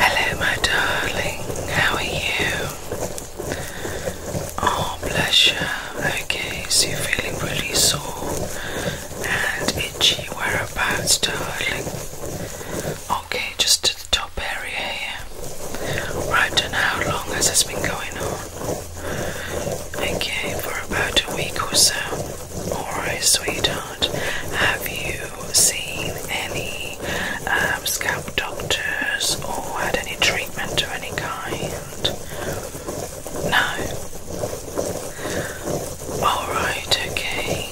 Hello, my darling. How are you? Oh, bless you. Okay, so you feeling really sore and itchy. Whereabouts, darling? Okay, just to the top area Right, and how long has this been going on? Okay, for about a week or so. Alright, sweetheart. Have you seen any um, scalp doctors or had any treatment of any kind? No. Alright, okay.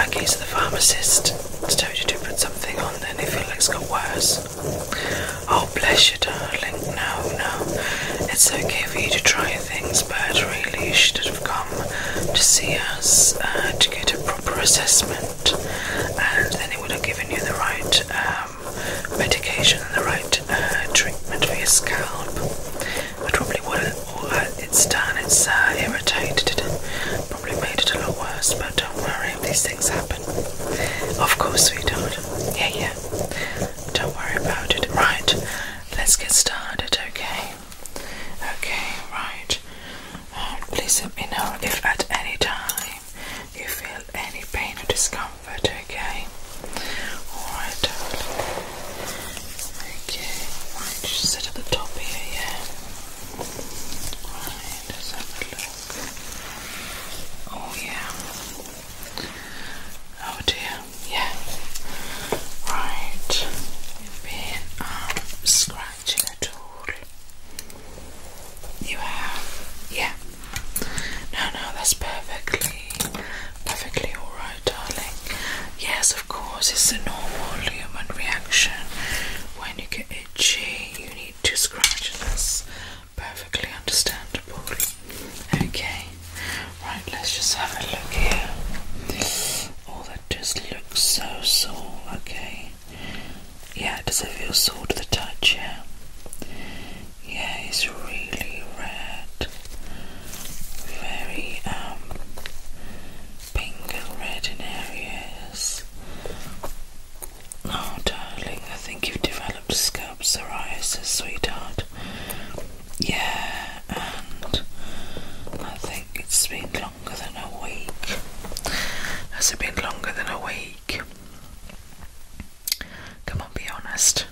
Okay, so the pharmacist told you to put something on then if your legs got worse. Oh, bless you, darling. No, no. It's okay for you to try things, but really, you should have come to see us uh, to get a proper assessment, and then it would have given you the right um, medication and the right uh, treatment for your scalp. But probably what it's done, it's uh, irritated it, probably made it a lot worse, but don't worry, these things happen. Of course, we sweetheart. Yeah, yeah. Don't worry about it. Right, let's get started, okay? Okay, right. Um, please let me know if at any time you feel any pain or discomfort, okay? Alright, Okay, right, sit at the top here, yeah? Right, let have a look. Oh, yeah. Oh dear, yeah. Right, you've been um, scratching at all. You have, yeah. No, no, that's perfectly, perfectly alright, darling. Yes, of course, it's a normal human reaction. When you get itchy, you need to scratch, and Perfectly understandable. Okay, right, let's just have a look here. Oh, that just looks so sore. Okay, yeah, does it feel sore to the touch? Yeah, yeah, it's really red, very um, pink and red in areas. Oh, darling, I think you've developed scalp sweetheart. Yeah, and I think it's been longer than a week. Has it been longer than a week? Come on, be honest.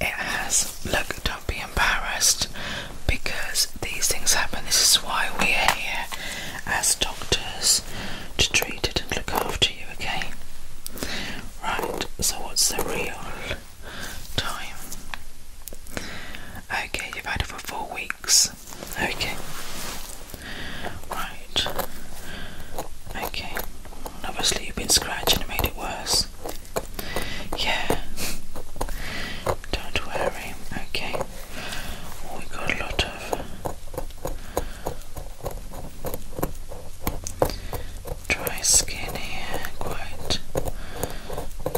It has. Look, don't be embarrassed because these things happen. This is why we are here as doctors to treat it and look after you, okay? Right, so what's the real time? Okay, you've had it for four weeks. Okay. Right. Okay. Obviously, you've been scratching and made it worse. Yeah. Don't worry. Okay. We've got a lot of Dry skin here, quite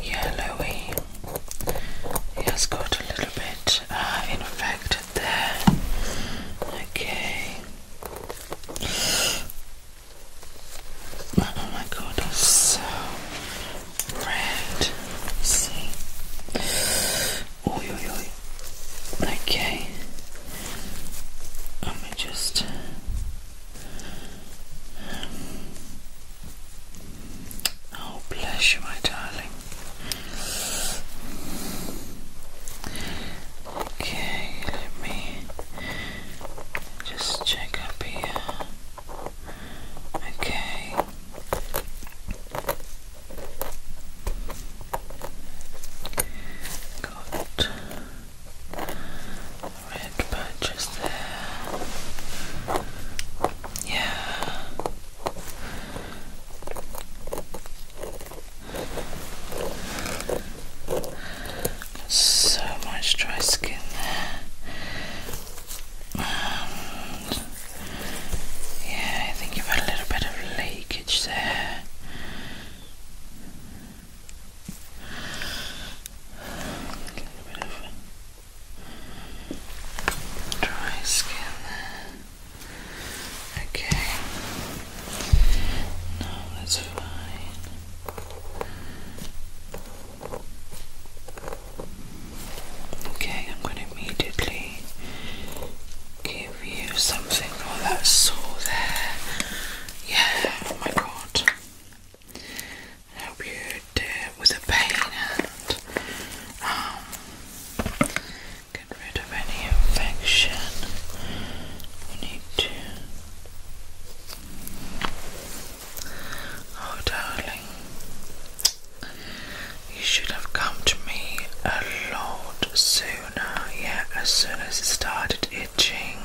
yellowy. has got a little bit uh, infected there. Okay. Oh my god, it's so red. see. Oy, oy, oy. Okay. Let me just. Um, oh, bless you, my darling. Okay, let me just check up here. Okay. Got red patches Yeah. so much dry skin there. Um, yeah, I think you've had a little bit of leakage there. A little bit of dry skin there. Okay. No, that's fine. Okay, I'm going to immediately give give something. Oh, that's so there. Yeah, oh my god. I you did with a pain and um, get rid of any infection. We need to. Oh, darling. You should have come to me a lot sooner. Yeah, as soon as it started itching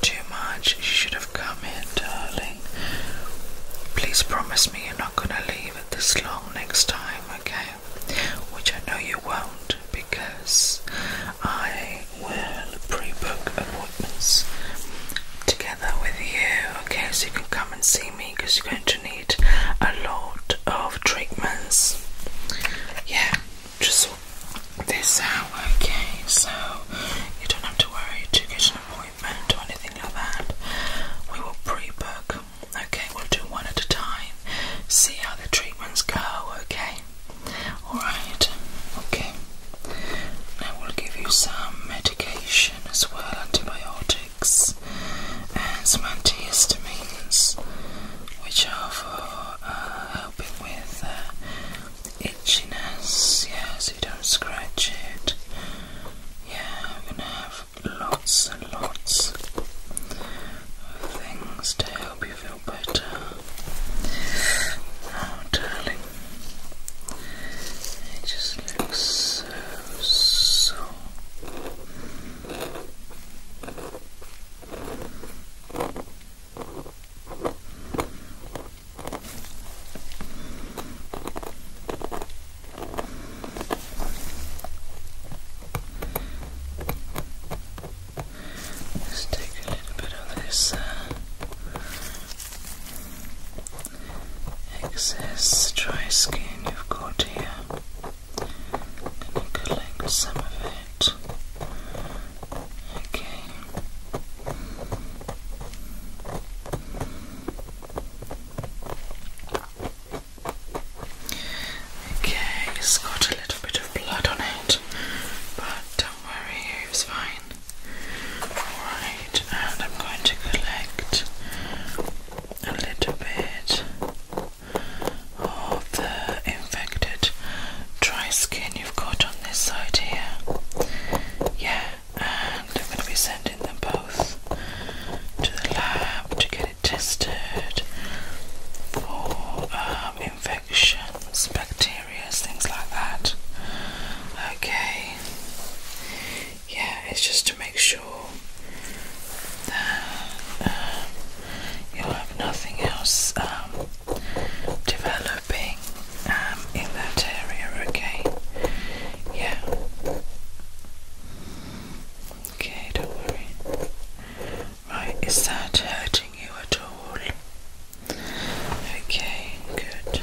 too much, you should have come here, darling. Please promise me you're not gonna leave it this long next time, okay? Which I know you won't because I will pre book appointments together with you, okay? So you can come and see me because you're going to need a lot of treatments. Yeah, just sort this hour. okay? So you don't have to worry to get an appointment or anything like that. We will pre book, okay? We'll do one at a time, see how the treatments go, okay? Alright, okay. Now we'll give you some medication as well, antibiotics and some antihistamines, which are for uh, helping with uh, itchiness, yeah, so you don't scratch it. Yeah, I'm gonna have lots and lots of things to help you feel better. Oh, darling, it just looks so Let's take a little bit of this uh, excess dry skin you've got here. Let me collect some of it. Okay. Okay, it's got a little bit of blood on it, but don't worry, it's fine. Alright, and I'm going to collect a little bit of the infected dry skin you've got on this side here. Yeah, and I'm going to be sending them both to the lab to get it tested for um, infections, bacteria, things like that. Okay, yeah, it's just to make sure that um, you'll have nothing else um, developing um, in that area, okay? Yeah. Okay, don't worry. Right, is that hurting you at all? Okay, good.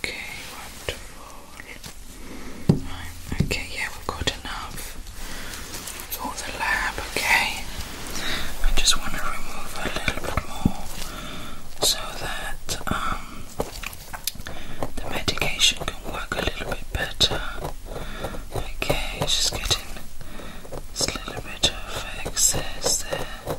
Okay, wonderful. okay, yeah, we've got enough for the lab, okay? I just want to remove a little bit more so that um, the medication can work a little bit better. Okay, just getting this little bit of excess there.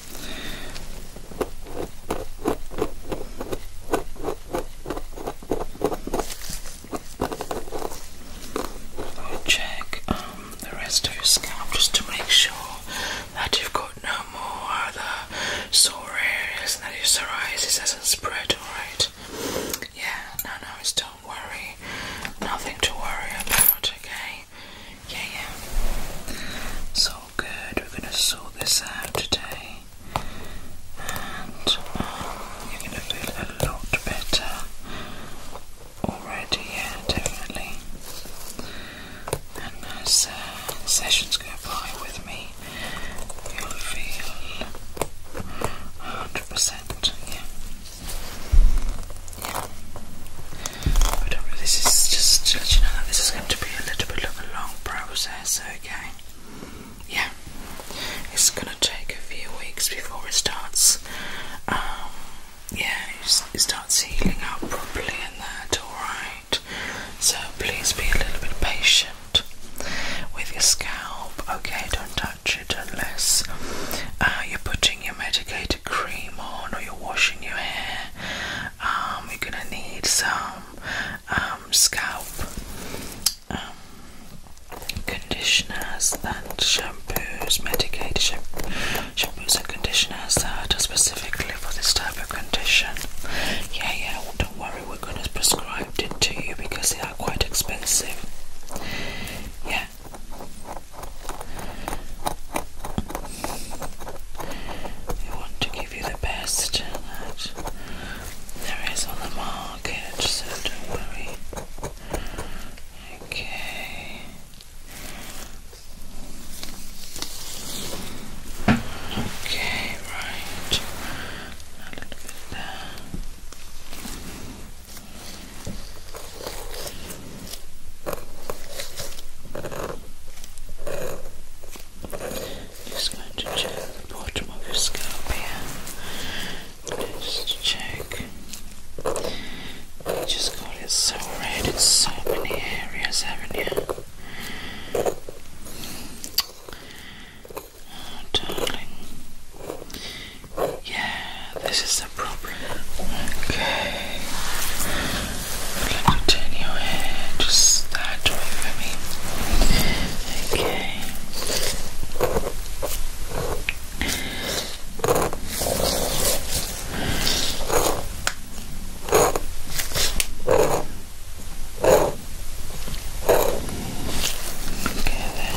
I'll check um, the rest of your scalp just to make sure that you've got no more other sore areas and that your psoriasis hasn't spread, alright? Yeah, no, no, don't worry. Nothing to worry about, okay? Yeah, yeah. So good, we're going to sort this out today, and um, you're going to feel a lot better already, yeah, definitely. And as uh, sessions go by with me, you'll feel 100%, yeah. Yeah. I don't know, this is just to let you know that this is going to be a little bit of a long process, okay? Yeah, it's gonna take a few weeks before it starts, um, yeah, it starts healing up properly and that, alright? So please be a little bit patient with your scalp, okay? Don't touch it unless uh, you're putting your medicated cream on or you're washing your hair we um, are gonna need some um, scalp um, conditioners and shampoos, medicated shampoos and conditioners that uh, are specifically for this type of condition. Yeah, yeah, well, don't worry, we're gonna prescribe it to you because they are quite expensive. Yeah. You want to give you the best that there is on the market, so don't worry. Okay. Okay, right. A little bit there. Just going to check the bottom of your scalp here. Just check. You just got it so red in so many areas, haven't you? Oh, darling. Yeah, this is the problem. Okay. Let me turn your head just that way for me. Okay. Okay there.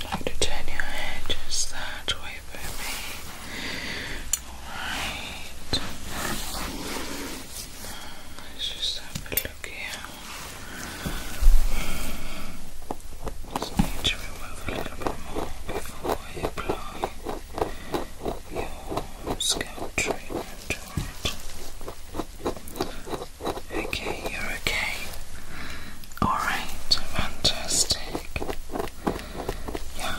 I'd like to turn your head just that way for me. Alright. Let's just have a look here. Just need to remove a little bit more before I apply your scalp treatment Okay, you're okay. Alright, fantastic. Yeah.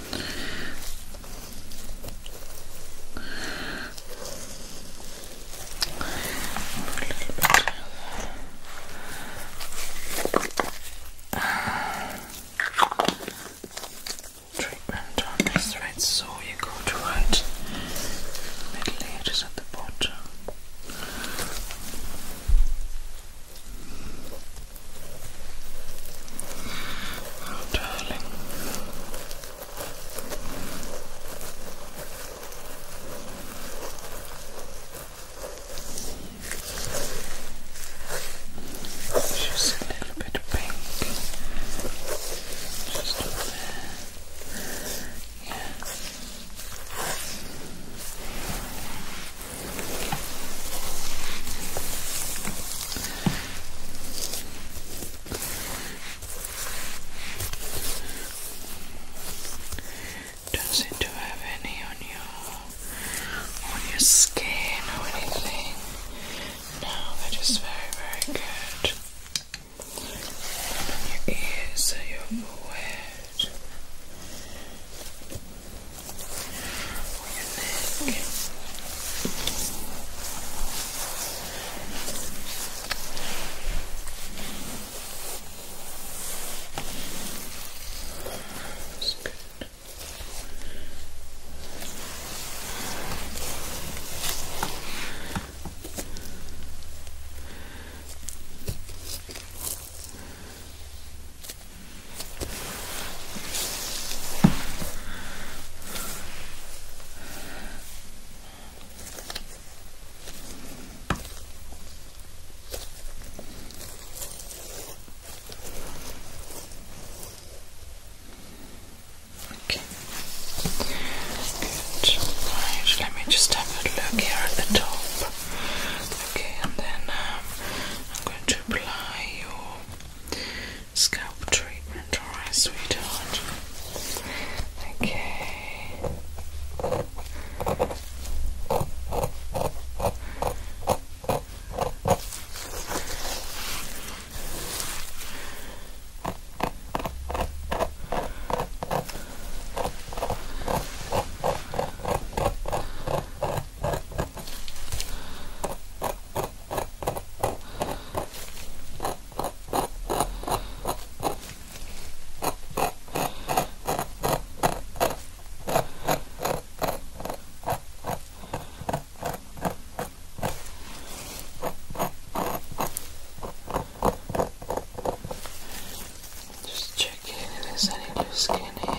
Treatment on this right, so you go to right middle layers at the bottom. Oh, darling. She's a little bit pink. Just over there. Yeah. Don't seem have any on your on your skin or anything. No, they're very, very good. your ears, so your forehead. Your neck. That's good. Good. Okay. Good. Right. Let me just have a look here at the top. Okay, and then um, I'm going to apply your scalp treatment, alright, sweetheart? Okay. Just checking if there's any loose skin here.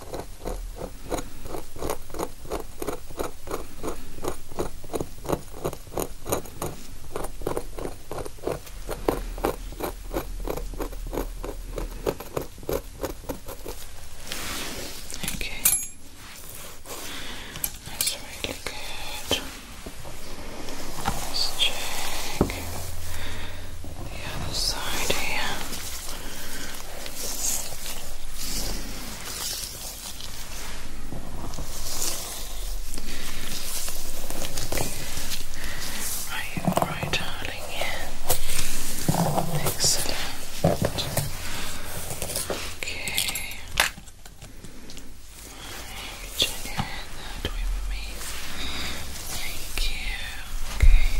Okay, that's really good. Let's check the other side here. Right, all right, darling. Yeah. Excellent. Okay. Right, that way with me. Thank you. Okay.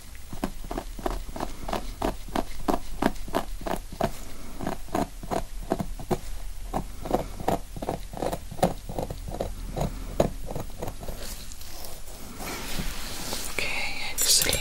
Okay, excellent.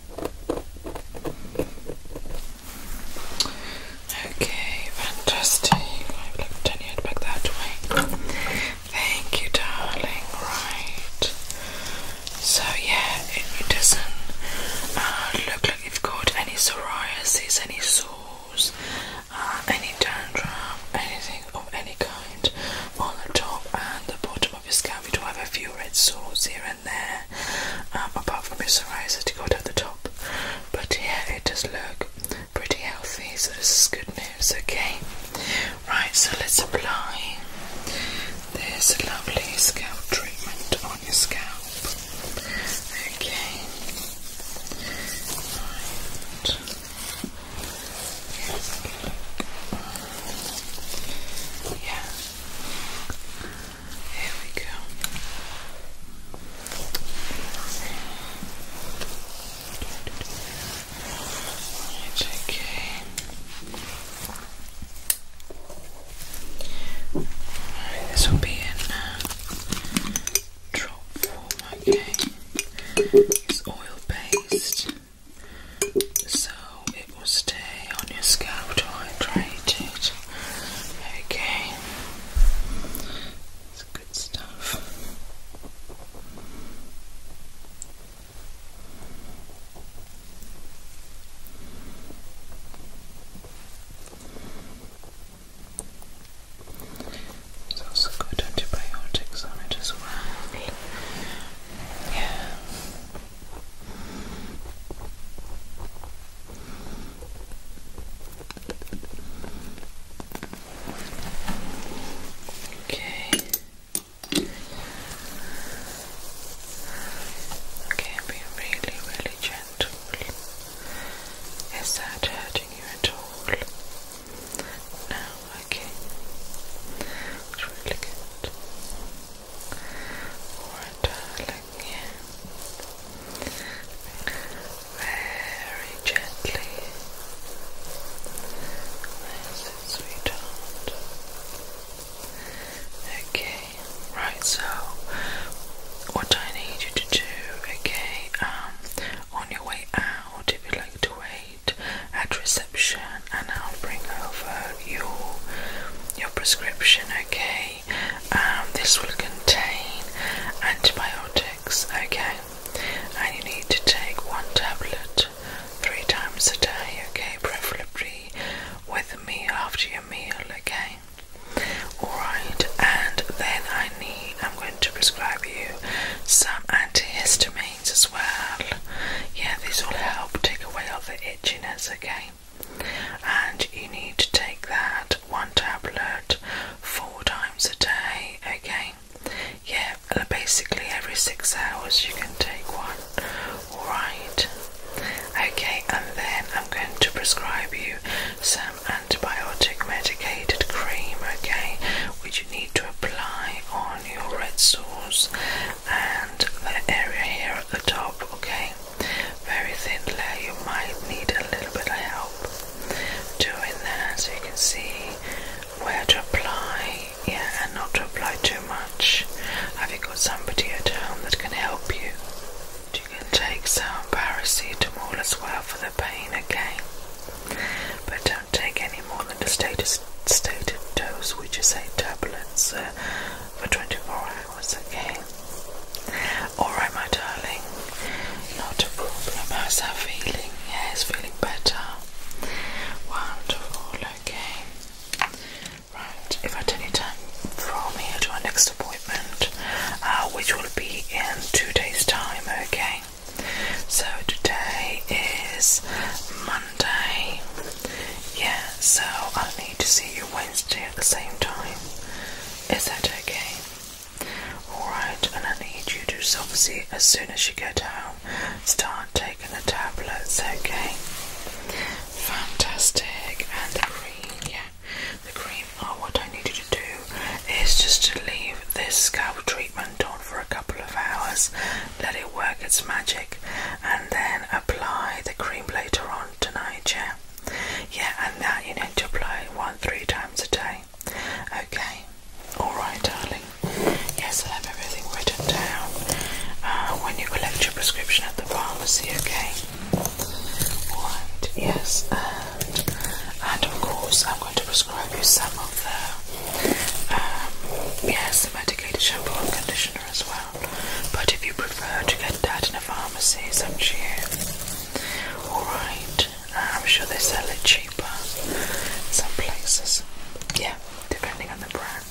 Okay, fantastic. I've left ten back that way. Thank you, darling. Right. So yeah, it, doesn't uh, look like you've got any psoriasis, any sores, uh, any dandruff, anything of any kind on the top and the bottom of your scalp. We do have a few red sores here there, um, apart from his psoriasis to go down the top. But yeah, it does look pretty healthy, so this is good news, okay? Right, so let's apply this lovely scalp treatment on your scalp. Okay. Right. Yeah. Here we go. okay. Alright, this will be in uh, drop form, okay? It's oil based, so it will stay on your scalp to hydrate it. Okay, it's good stuff. There's also good antibiotics on it as well. Yeah. Okay. Okay, be really, really gentle. Is that hurting you at all? No, okay. It's really good darling, very gently. That's sweetheart. Okay, right. So, what I need you to do, okay, um, on your way out, if you'd like to wait at reception, and I'll bring over your your prescription okay um, this will contain antibiotics okay and you need to take one tablet three times a day okay preferably with a meal after your meal okay alright and then I need I'm going to prescribe you some antihistamines as well yeah this will help take away all the itchiness okay and you need to take that one tablet four times a day. Okay, yeah, uh, basically every six hours you can take one. All right, okay, and then I'm going to prescribe you some antibiotic medicated cream. Okay, which you need to apply on your red sores and the area here at the top. Okay, very thin layer, you might need a little bit of help doing that so you can see where to apply, yeah, and not to apply too much. Have you got somebody at home that can help you? You can take some paracetamol as well for the pain again, but don't take any more than the status, stated dose, which is eight tablets for 24 hours, okay? Alright, my darling, not a problem. How's that feeling? Yeah, it's feeling better. Wonderful, okay. Right, if at any time from here to our next appointment, uh, which will be in two days' time, okay? So today is Monday, yeah. So I to see you Wednesday at the same time. Is that okay? Alright, and I need you to just obviously, as soon as you get home, start taking the tablets, okay? Fantastic. And the cream, yeah. The cream, oh, what I need you to do is just to leave this scalp treatment on for a couple of hours. Let it work its magic and then apply the cream later on tonight, yeah? Yeah, and that you need to apply one, three times a day. Okay, alright, darling. Yes, I have everything written down uh, when you collect your prescription at the pharmacy, okay? Alright, yes, and, of course, I'm going to prescribe you some of the um, yes, the medicated shampoo and conditioner as well. But if you prefer to get that in a pharmacy, it's up you. Alright, uh, I'm sure they sell it cheaper in some places. Yeah, depending on the brand.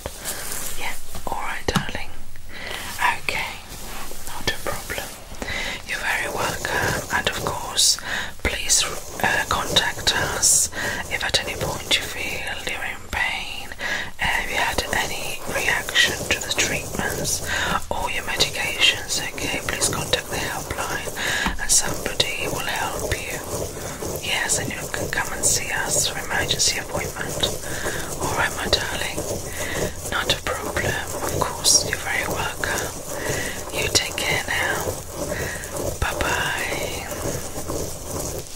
Yeah, alright, darling. Okay, not a problem. You're very welcome, and of course, please uh, contact us if at any point you feel pain, and you had any reaction to the treatments or your medications, okay, please contact the helpline and somebody will help you. Yes, and you can come and see us for emergency appointment. Alright, my darling, not a problem. Of course, you're very welcome. You take care now. Bye bye.